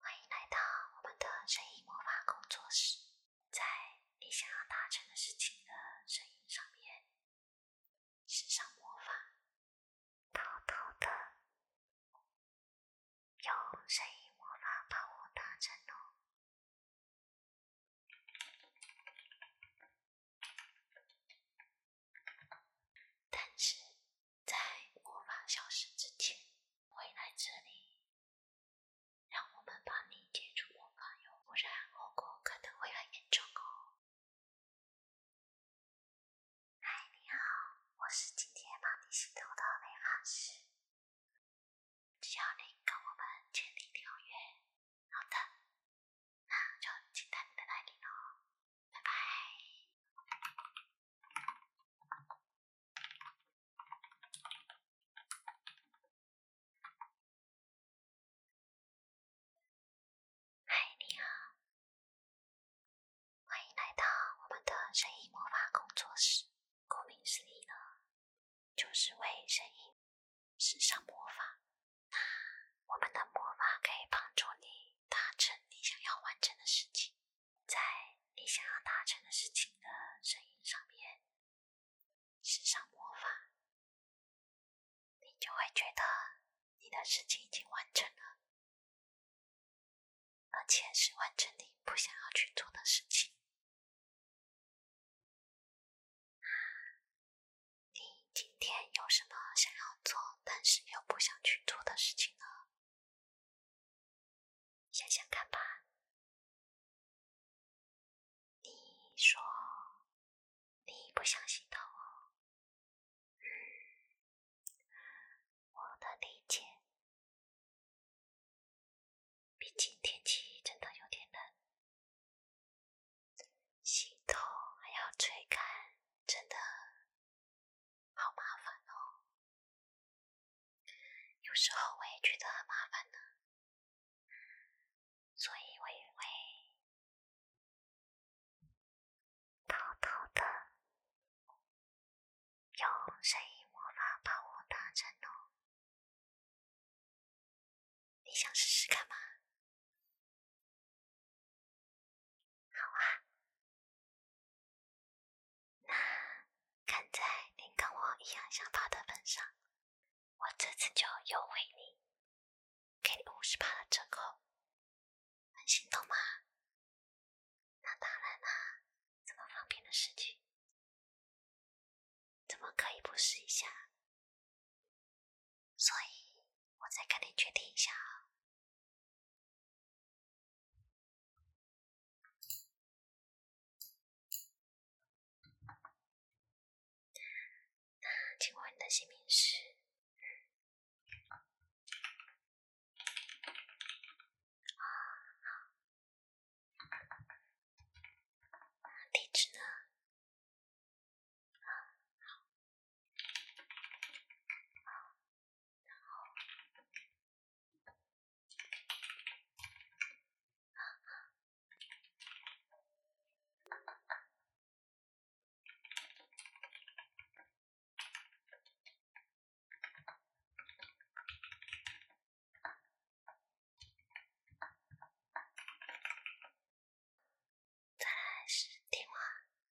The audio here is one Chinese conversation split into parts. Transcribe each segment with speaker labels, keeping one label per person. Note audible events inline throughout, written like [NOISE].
Speaker 1: 欢迎来到我们的声音魔法工作室，在你想要达成的事情的声音上面施上魔法，偷偷的用声音魔法把我达成哦。但是。在魔法消失之前回来这里，让我们帮你解除魔法哟，不然后果可能会很严重哦。嗨，你好，我是今天帮你洗头的美发师，只要你跟我们签订条约，好的，那就期待你的来临哦。拜拜。嗨，你好，欢迎来到我们的声音魔法工作室。顾名思义呢，就是为声音施上魔法。那我们的魔法可以帮助你达成你想要完成的事情。在你想要达成的事情的声音上面施上魔法，你就会觉得你的事情已经完成了，而且是完成你不想要去做的事情。你今天有什么想要做但是又不想去做的事情呢？想想看吧，你说你不想洗头，嗯，我的理解，毕竟天气真的有点冷，洗头还要吹干，真的。好麻烦哦，有时候我也觉得很麻烦呢，所以我也会偷偷的用声音魔法把我打成龙。你想试试看吗？好啊，那看在您跟我一样想法的份上，我这次就优惠你，给你五十八的折扣，很心动吗？那当然啦，这么方便的事情，怎么可以不试一下？所以，我再跟你确定一下那 [SIGHS] 请问你的姓名是？啊，好。地址呢？好，然后，再来是蒂话。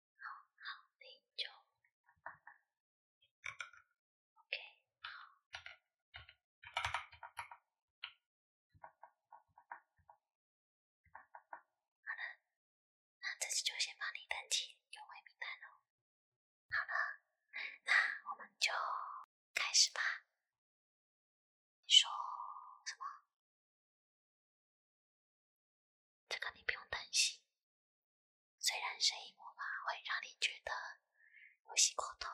Speaker 1: 好那了，那这就先帮你登记好了，那我们就开始吧。你说什么？这个你不用担心，虽然声音魔法会让你觉得，呼吸过头，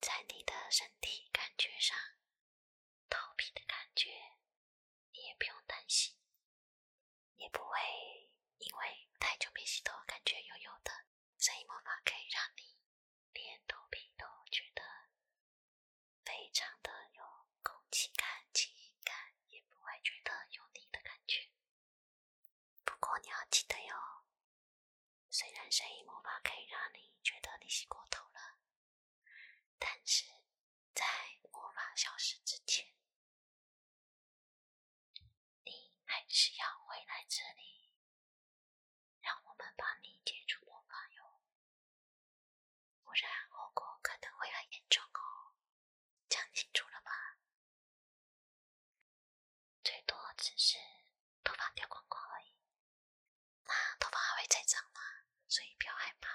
Speaker 1: 在你的身体感觉上，头皮的感觉，你也不用担心，也不会因为太久没洗头感觉油油的，声音魔法可以让你连头皮都觉得。非常的有空气感、清新感，也不会觉得油腻的感觉。不过你要记得哟，虽然声音魔法可以让你觉得你洗过头了，但是在魔法消失之前，你还是要回来这里，让我们帮你解除魔法哟。不然后果可能会很严重哦，讲清楚了吧？最多只是头发掉光光而已，那头发还会再长吗？所以不要害怕。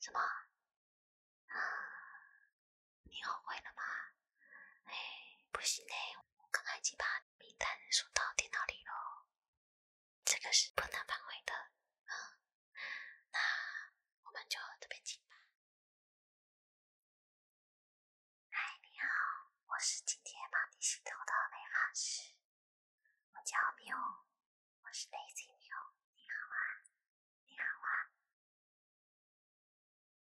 Speaker 1: 什么？啊？你后悔了吗？哎，不行嘞，我刚经把名单输到电脑里了。这个是不能反悔的。嗯，那我们就这边请吧。嗨，你好，我是今天帮你洗头的美发师，我叫缪，我是 Lazy 缪。你好啊，你好啊。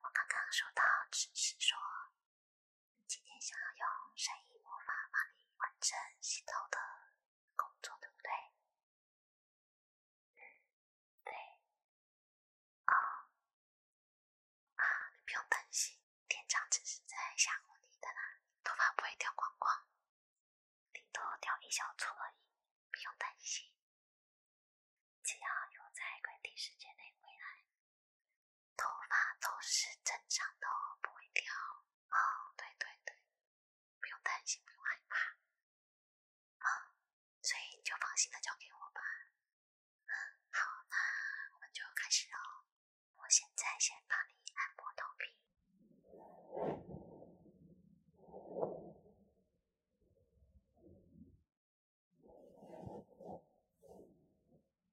Speaker 1: 我刚刚收到指示说，今天想要用声音魔法帮你。完成洗头的工作，对不对？对，啊啊，你不用担心，店长只是在吓唬你的啦，头发不会掉光光，顶多掉一小撮而已，不用担心。只要有在规定时间内回来，头发都是正常的哦，不会掉。哦，对对对，不用担心，不用害怕，啊，所以你就放心的交给我吧。嗯，好，那我们就开始哦。我现在先帮你按摩头皮。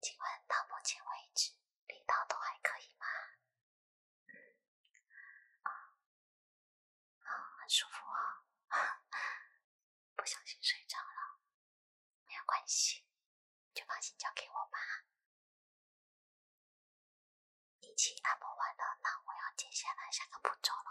Speaker 1: 请问到目前为止，力道都还可以吗？嗯，啊，很舒服哦。[LAUGHS] 不小心睡着了，没有关系，就放心交给我吧。一起按摩完了，那我要接下来下个步骤了。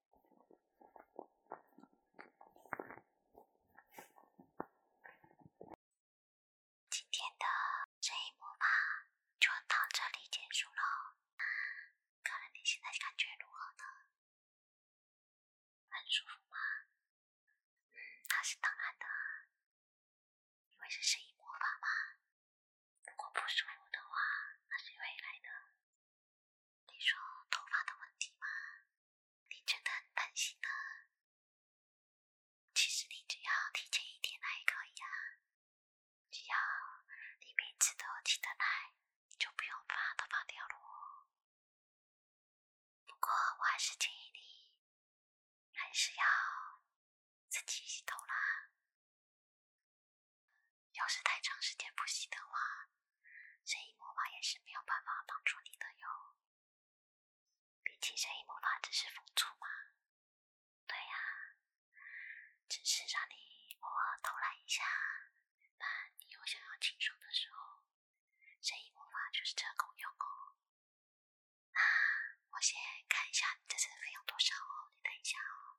Speaker 1: 今天的这一魔法就到这里结束了，看了你现在感觉如何呢？很舒服吗？嗯，那是当然的，因为是声音魔法嘛。如果不舒服的话，那是未来的。你说头发的问题吗？你真的很担心呢。其实你只要提前一天来可以啊，只要你每次都起得来，就不用怕头发掉了。不过我还是建议你，还是要自己洗头啦。要是太长时间不洗的话，神医魔法也是没有办法帮助你的哟。毕竟神医魔法只是辅助嘛。对呀，只是让你偶尔偷懒一下。但你又想要轻松的时候，神医魔法就是这功用哦。那我先看一下你这次费用多少哦，你等一下哦。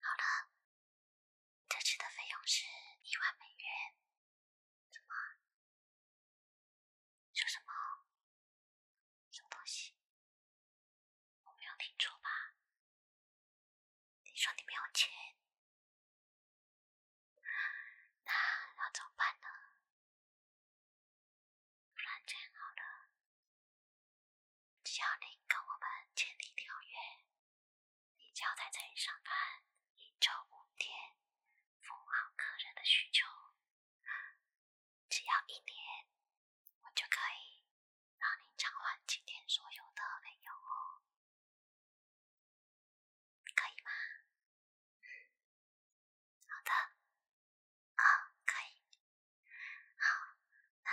Speaker 1: 好了，这次的费用是一万美元。怎么？说什么？什么东西？我没有听错吧？你说你没有钱，那要怎么办呢？反正好了。只要您跟我们签订条约，你交要在这里上班一周五天，服务好客人的需求，只要一年，我就可以让您偿还今天所有的费用，哦，可以吗？好的，啊，可以，好。那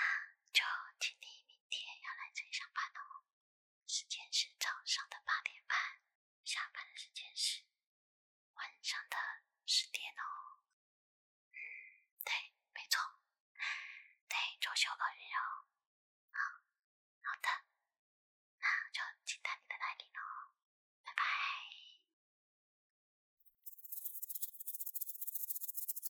Speaker 1: 就请你明天要来这里上班的哦，时间是早上的八点半，下班的时间是晚上的十点哦。嗯，对，没错，对，装修工人哦。好，好的，那就期待你的来临哦，拜拜。